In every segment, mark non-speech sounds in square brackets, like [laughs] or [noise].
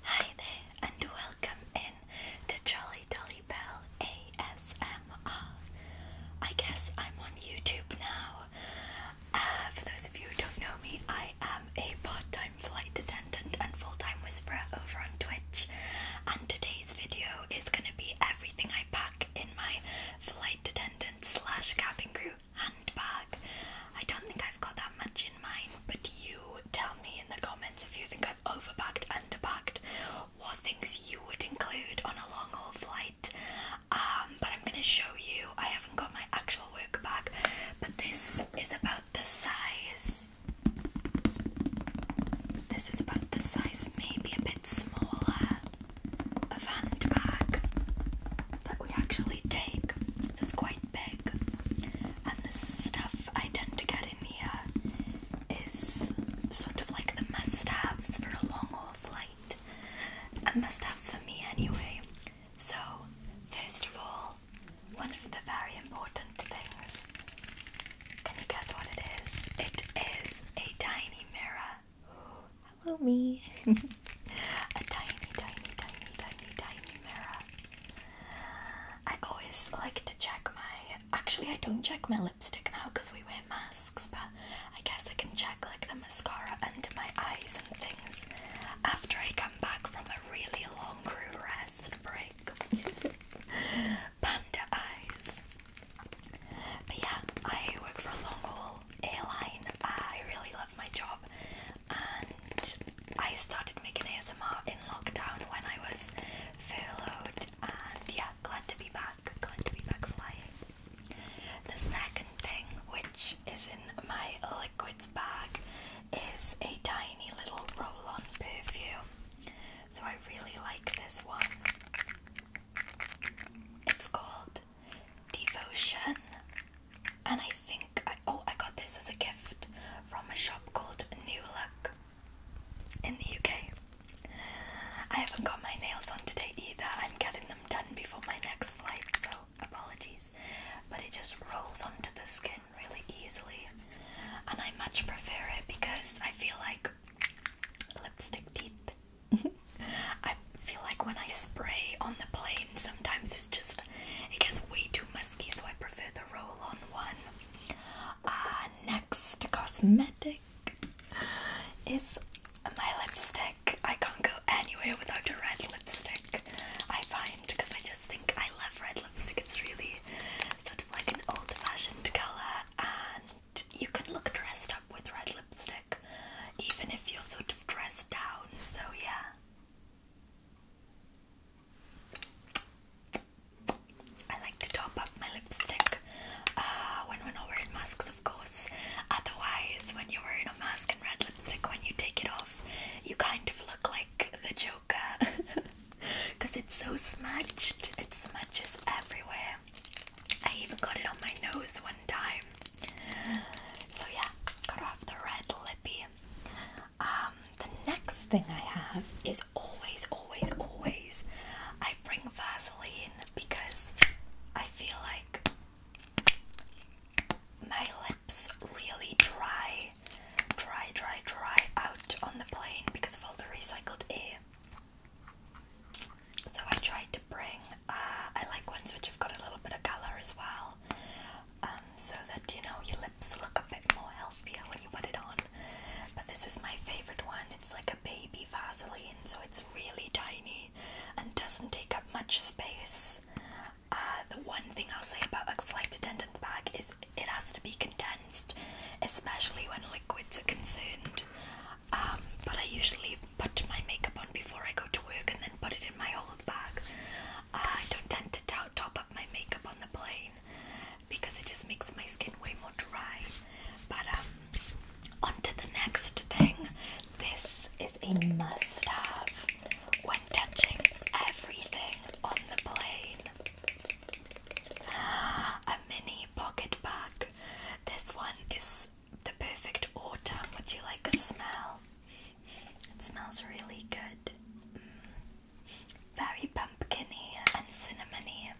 Hi there, and welcome in to Jolly Dolly Bell ASMR. I guess I'm on YouTube now. Uh, for those of you who don't know me, I am a part time flight attendant and full time whisperer over on Twitch. And today's video is going to be everything I pack in my flight attendant cabin crew hand handbag. I don't think I've got that much in mind, but you tell me in the comments if you think I've overpacked, underpacked, what things you would include on a long haul flight. Um, but I'm gonna show you. I haven't got my actual work bag, but this is about the size. This is about the size, maybe a bit smaller, of handbag that we actually take. So it's quite big. And the stuff I tend to get in here is sort of like the must haves for a long haul flight. And must haves for me anyway. So, first of all, one of the very important things. Can you guess what it is? It is a tiny mirror. [gasps] hello, me. [laughs] a tiny, tiny, tiny, tiny, tiny mirror. I always like to check my. Actually, I don't check my lipstick now because we wear masks, but I guess I can check like the mascara under my eyes and things after I come back from a really long crew rest break. [laughs] Panda eyes. But yeah, I work for a long haul airline. I really love my job and I started making ASMR in lockdown when I was furloughed and yeah, glad to be back, glad to be back flying. The second thing which is in my liquids bag is a tiny little roll-on perfume. So I really like this one. It's called Devotion and I think oh I got this as a gift from a shop called New Look in the UK. I haven't got my nails on today either. I'm getting them done before my next flight, so apologies. But it just rolls onto the skin really easily, and I much prefer it because I feel like lipstick teeth. [laughs] I feel like when I spray on the plane, sometimes it's just it gets way too much so I prefer the roll on one. Uh, next cosmetic is my lipstick. I can't go anywhere without a red lipstick, I find, because I just think I love red lipstick. It's really sort of like an old fashioned colour, and you can look dressed up with red lipstick, even if you're sort of dressed down. So, yeah. I like to top up my lipstick uh, when we're not wearing masks, of course. Otherwise, when you're wearing a mask and red lipstick, when you take it off, you kind of look like the Joker because [laughs] it's so smudged, it smudges everywhere. I even got it on my nose one time. So, yeah, gotta the red lippy. Um, the next thing I have is always, always, always I bring Vaseline because I feel like my lips really dry, dry, dry, dry out on the plane because of all the recycled air. So I tried to bring, uh, I like ones which have got a little bit of colour as well. Um, so that you know your lips look a bit more healthier when you put it on. But this is my favorite one. It's like a baby Vaseline, so it's really tiny and doesn't take up much space. Uh, the one thing I'll say about a flight attendant bag is it has to be condensed, especially when liquids are concerned. Um, but I usually put my makeup on before I go to work and then put it in my old bag. I don't tend to top up my makeup on the plane because it just makes my skin way more dry. But um, onto the next thing. This is a must-have when touching everything on the plane. [gasps] A mini pocket bag. This one is the perfect autumn. Would you like a smell? It smells really good. Very pumpkiny and cinnamony.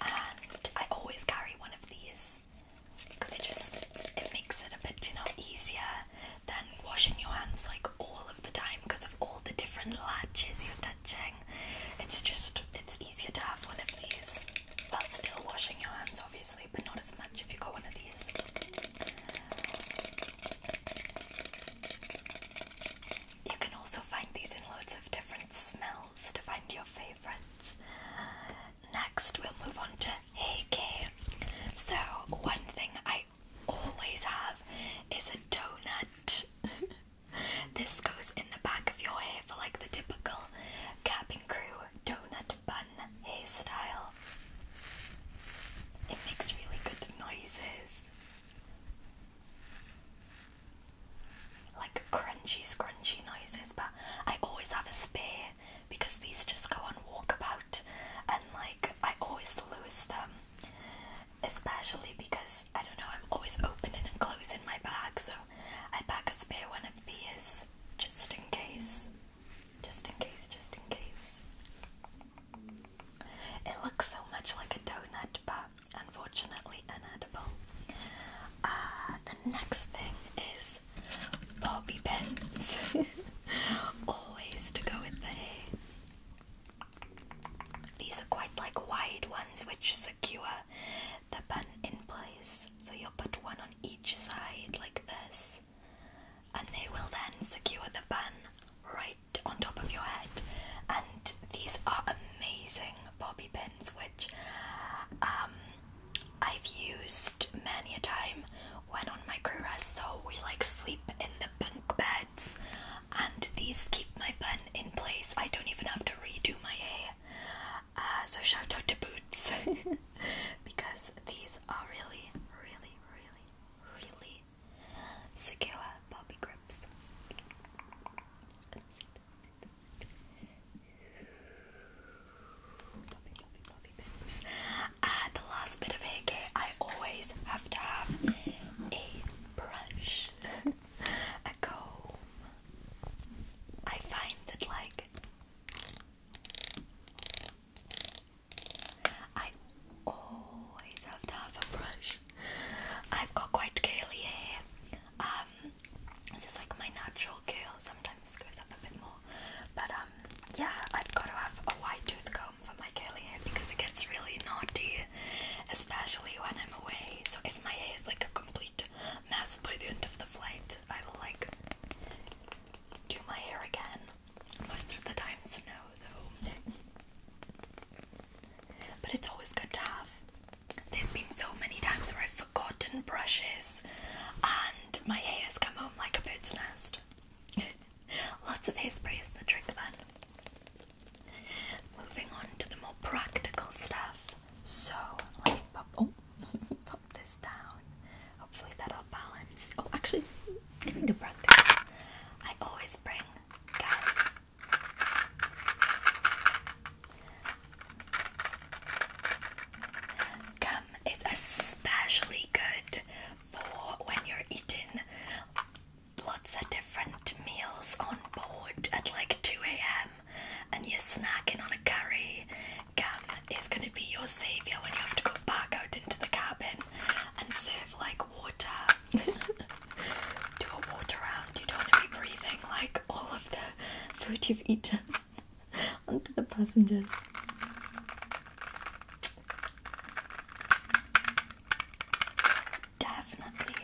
And I always carry one of these because it just it makes it a bit, you know, easier than washing your hands like all of the time because of all the different latches you're touching. It's just it's easier to have one of these while still washing your hands obviously, but not as much if you got one of these. You can also find these in loads of different smells to find your favorites. Next, we'll move on to Heike. So, one thing I always have is a donut. [laughs] this goes in the back of your hair for like the typical cabin crew donut bun hairstyle. It makes really good noises. Like crunchy, scrunchy noises, but I always have a spare because these just go on walkabout and like I always lose them. Especially because I don't know, I'm always opening and closing my bag, so I pack a spare one of these just in case. Just in case, just in case. It looks so much like a donut, but unfortunately inedible. Uh, the next thing is bobby pins. [laughs] Always to go with the hair. These are quite like wide ones which secure the bun in place. So you'll put one on each side like this and they will then secure the bun right on top of your head. And these are amazing bobby pins, which um, I've used many a time when on my crew rest. So we like sleep in the bunk beds, and these keep my bun in place. I don't even have to redo my hair. Uh, so shout out to Boots [laughs] because these are really, really, really really secure poppy grips. the last bit of hair care, I always have to have a brush, [laughs] a comb. I find that like I always have to have a brush. I've got quite curly hair. Um, this is like my natural curl. Sometimes goes up a bit more, but um, yeah, I've got to have a wide tooth comb for my curly hair because it gets really naughty, especially when I'm away. So if my hair is like a complete mess by the end of the flight, I will like do my hair again. Most of the time no though. [laughs] but it's always good to have. There's been so many times where I've forgotten brushes and my hair's come home like a bird's nest. [laughs] Lots of hairspray is the trick then. Moving on to the more practical stuff. So [laughs] up this down. Hopefully that'll balance. Oh, actually, getting to practice. I always bring gum. Gum is especially good for when you're eating lots of different meals on board at like 2 a.m. and you're snacking on a curry Gan is going to be your saviour when you have to go back out into the cabin and serve like water. [laughs] Do a water round. You don't want to be breathing like all of the food you've eaten [laughs] onto the passengers. Definitely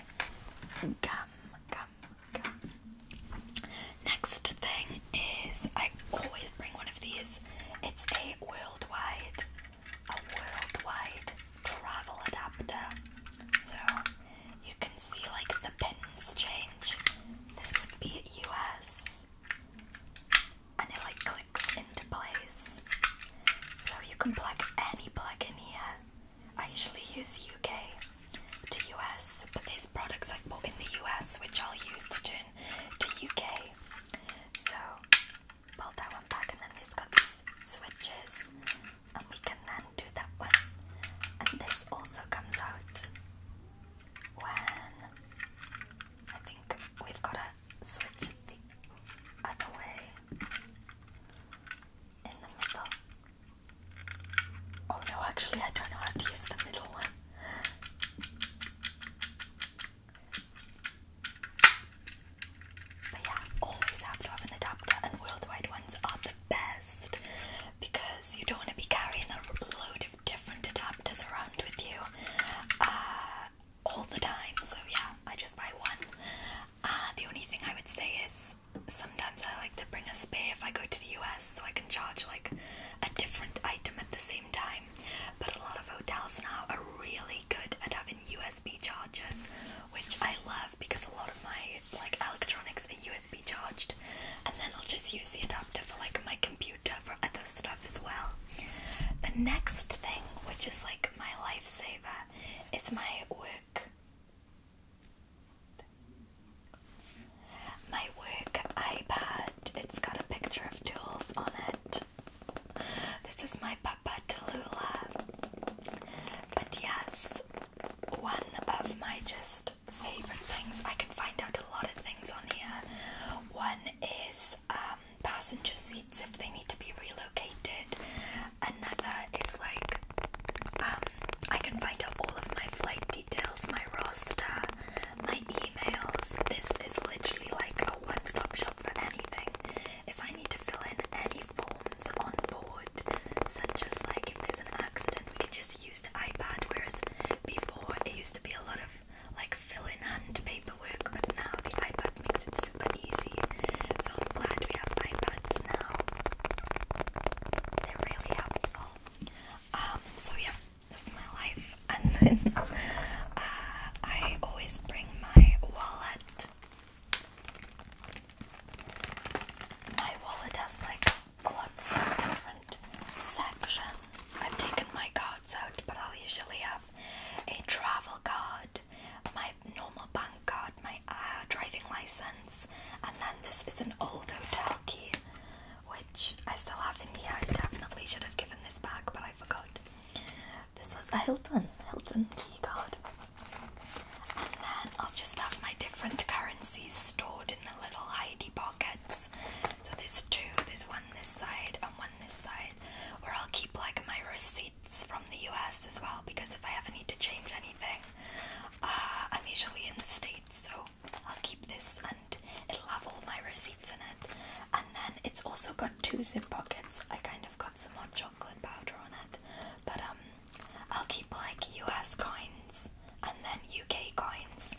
gum, gum, gum. Next thing is I always bring one of these it's a worldwide a worldwide travel adapter. So you can see like the pins change. This would be US and it like clicks into place. So you can plug any plug in here. I usually use UK to US, but there's products I've bought in the US, which I'll use to turn [laughs] to UK. So pull that one back, and then it's got these switches, and we can then do that one. And this also comes out when I think we've got to switch the other way in the middle. Oh no, actually, I don't know how to use the middle one. But yeah, always have to have an adapter, and worldwide ones are the best because you don't want to be carrying a load of different adapters around with you uh, all the time. So yeah, I just buy one. Uh, the only thing I would say is sometimes I like to bring a spare if I go to the US so I can charge like a different item at the same time but a lot of hotels now are really good at having USB chargers, which I love because a lot of my like electronics are USB charged, and then I'll just use the adapter for like my computer for other stuff as well. The next thing, which is like my lifesaver, is my work. My work iPad it's got a picture of tools on it. This is my Papa Tallulah. But yes, one of my just favorite things, I can find out a lot of things on here. One is um, passenger seats if they need to be relocated. Another is like um, I can find out all of my flight details, my roster, my emails. This is literally like a one-stop shop for anything. If I need to fill in any forms on board, such as like if there's an accident, we can just use the iPad. Whereas before it used to be a lot of like fill-in hand paperwork, but now the iPad makes it super easy. So I'm glad we have iPads now. They're really helpful. Um, so yeah, this is my life. [laughs] And then uh, I always bring my wallet. My wallet has like lots of different sections. I've taken my cards out, but I'll usually have a travel card, my normal bank card, my uh, driving license, and then this is an old hotel key, which I still have in here. I definitely should have given this back, but I. I forgot. This was a Hilton, Hilton key card. And then I'll just have my different currencies stored in the little hidey pockets. So there's two, there's one this side and one this side, where I'll keep like my receipts from the US as well, because if I ever need to change anything, uh, I'm usually in the States, so I'll keep this it'll have all my receipts in it. And then it's also got two zip pockets. I kind of got some hot chocolate powder on it, but um, I'll keep like US coins and then UK coins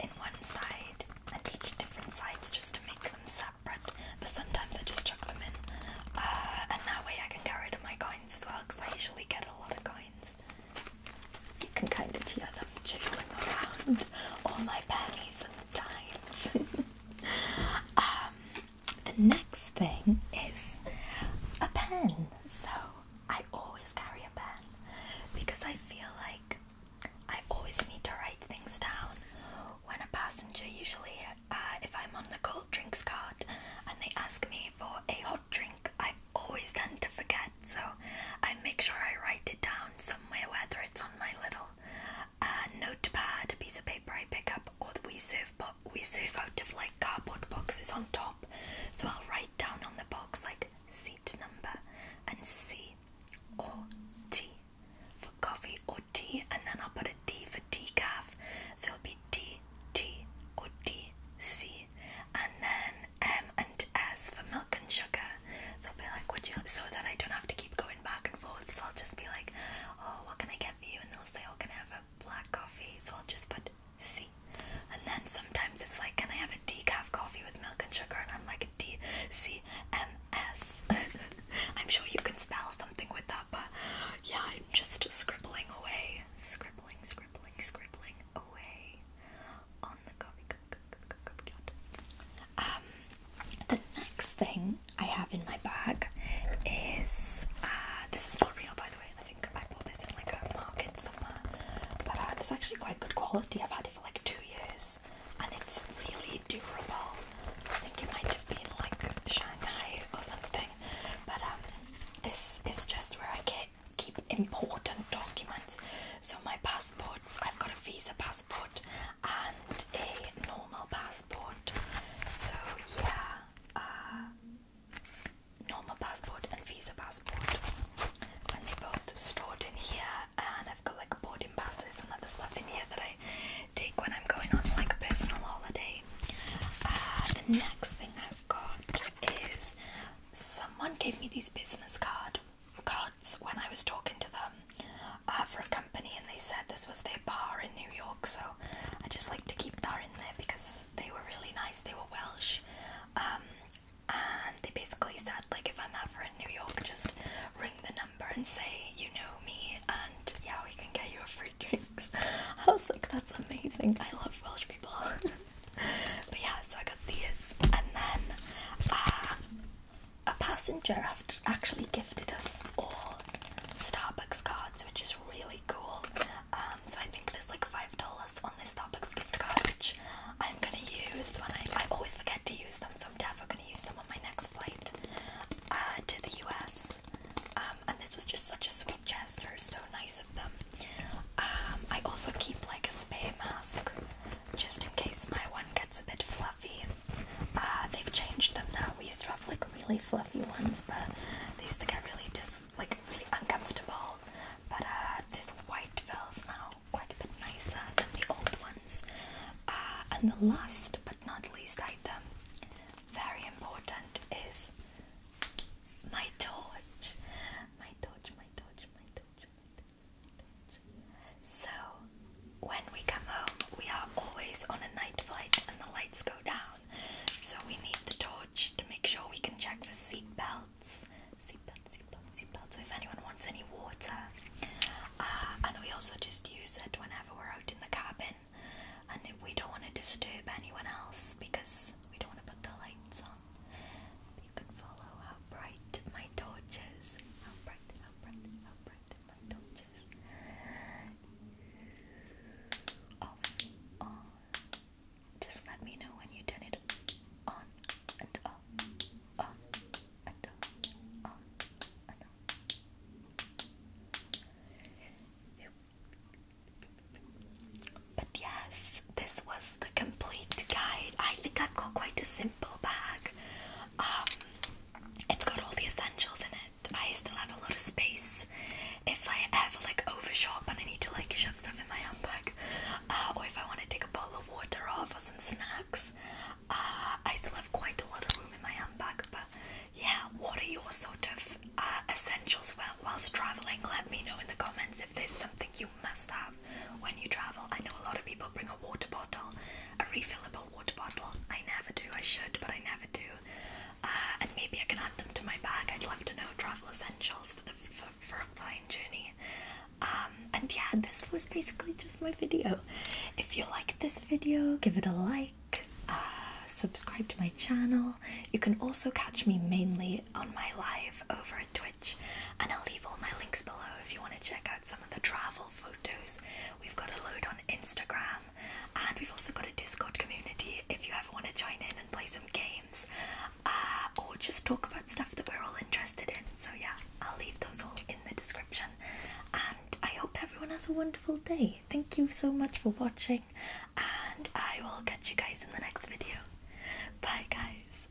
in one side and each different sides just to make them separate. But sometimes I just chuck them in, uh, and that way I can get rid of my coins as well because I usually get a lot of coins. You can kind of hear them jiggling around. All my pennies [laughs] Um, the next thing is a pen. So I always carry a pen because I feel like I always need to write things down. When a passenger, usually, uh, if I'm on the cold drinks card and they ask me for a hot drink, I always tend to forget. So I make sure I write it down somewhere, whether it's on my little uh, notepad, a piece of paper I pick up, or we serve, but we serve out of like cardboard boxes on top. So I'll write down on the box like seat number and C or T for coffee or tea, and then I'll put a D for decaf. So it'll be D T or D C, and then M um, and S for milk and sugar. So I'll be like, would you so that I don't have to keep going back and forth. So I'll just be like, oh, what can I get for you? And they'll say, oh, can I have a black coffee? So I'll just put C. And then sometimes it's like, can I have a decaf coffee with milk and sugar? And I'm like, D C M S. [laughs] I'm sure you can spell something with that, but yeah, I'm just scribbling away. Scribbling, scribbling, scribbling away on the coffee cup, um, the next thing I have in my bag is uh, this is not real, by the way. I think I bought this in like a market somewhere, but uh, it's actually quite good quality. I've had it for like two years, and it's really durable. I think it might have been like Shanghai or something, but um, this is just where I keep important documents. So my passport I've got a visa passport and a normal passport. So yeah, uh, normal passport and visa passport. And they both stored in here and I've got like boarding passes and other stuff in here that I take when I'm going on like a personal holiday. Uh, the next thing I've got is someone gave me this business card cards when I was talking to them uh, for a company, and they said this was their bar in New York. So I just like to keep that in there because they were really nice. They were Welsh, um, and they basically said like if I'm ever in New York, just ring the number and say you know me, and yeah, we can get you a free drinks. [laughs] I was like, that's amazing. I love Welsh people. [laughs] but yeah, so I got these, and then uh, a passenger actually gifted us all Starbucks cards, which is really cool. Um, so I think there's like five dollars on this Starbucks gift card, which I'm gonna use when I always forget to use them, so I'm definitely gonna use them on my next flight uh, to the US. Um, and this was just such a sweet gesture, so nice of them. Um, I also keep like a spare mask just in case my one gets a bit fluffy. Uh, they've changed them now. We used to have like really fluffy ones, but they used to get really just like really uncomfortable. But uh, this white fell's now quite a bit nicer than the old ones. Uh, and the last but not least item, very important, is my torch. My torch, my torch, my torch, my torch. So, when we come home, we are always on a night flight and the lights go down. So, we need the torch to make sure we can check for seatbelts. Seatbelts, seatbelts, seatbelts. So, if anyone wants any water. Uh, and we also just use it whenever we're out in the cabin. And we don't want to disturb anyone else because we don't want to put the lights on you can follow how bright my torch How bright, how bright, how bright my torch Off, on. Just let me know when you turn it on and off, on and off, on and off. But yes, this was the complete guide. I think I've got quite a simple bag. Um, it's got all the essentials in it. I still have a lot of space. If I ever like overshop and I need to like shove stuff in my handbag, uh, or if I want to take a bottle of water off or some snacks, uh, I still have quite a lot of room in my handbag. But yeah, what are your sort of uh, essentials while, whilst traveling? Let me know in the comments if there's something you must have when you travel. I know a lot of people bring a water bottle, a refillable water bottle. I never do. I should, but I never do. Uh, and maybe I can add them to my bag. I'd love to know travel essentials for the for, for a plane journey. Um, and yeah, this was basically just my video. If you like this video, give it a like. Uh, subscribe to my channel. You can also catch me mainly on my live over and Twitch, and I'll leave all my links below if you want to check out some of the travel photos. We've got a load on Instagram, and we've also got a Discord community if you ever want to join in and play some games, uh, or just talk about stuff that we're all interested in. So, yeah, I'll leave those all in the description. And I hope everyone has a wonderful day. Thank you so much for watching, and I will catch you guys in the next video. Bye, guys.